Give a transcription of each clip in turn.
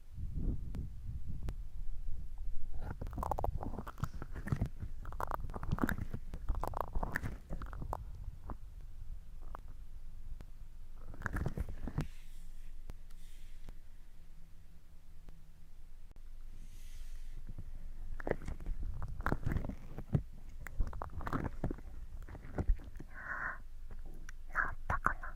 治ったかな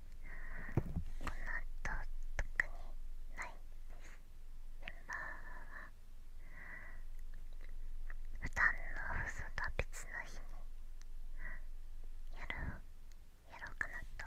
なと特にないですメンバーは普段の放送とは別の日にやろうやろうかなと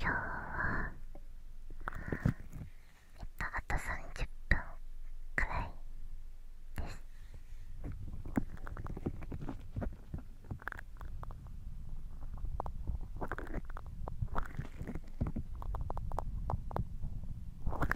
今日はえっとあと30分くらいです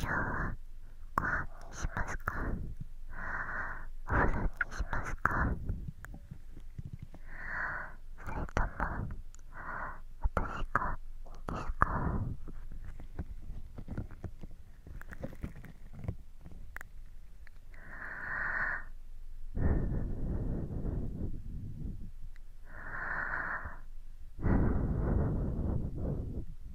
今日はご飯にしますかお風呂にしますかそれとも私がいいですかあ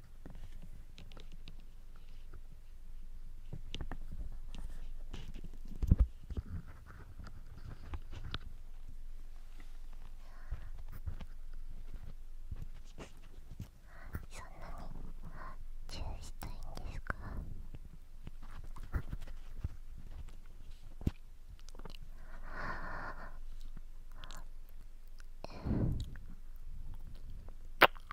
そんなにチューしたいんですか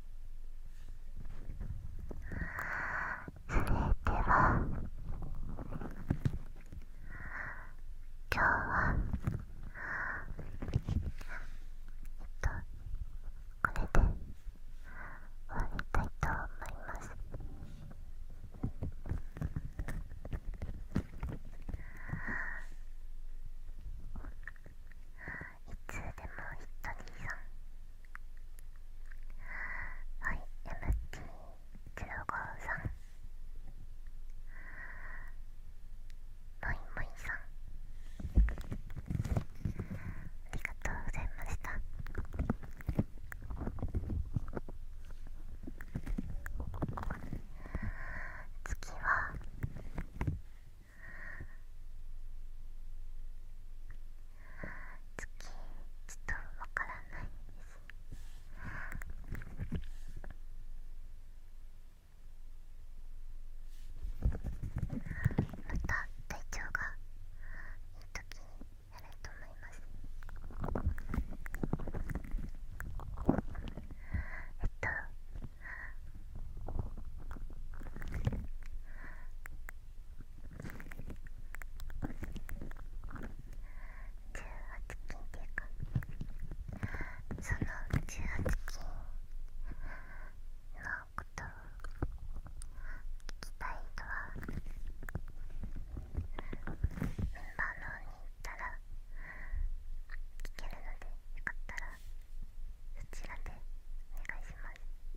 それでは今日はえっとこれで終わりたいと思います。あいつでもひとりさんはい MT05 さんもいもいさんありがとうございました次は月ちょっとわからないですまた体調がいい時にやると思いますえっと18金っていうかその18金のことを聞きたい人はメンバーの方に行ったら聞けるのでよかったらそちらでお願いします。お疲れ様で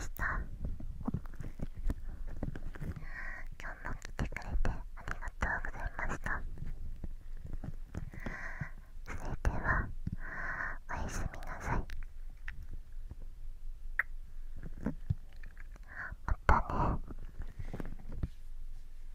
した今日も来てくれてありがとうございましたそれではおやすみなさいまたね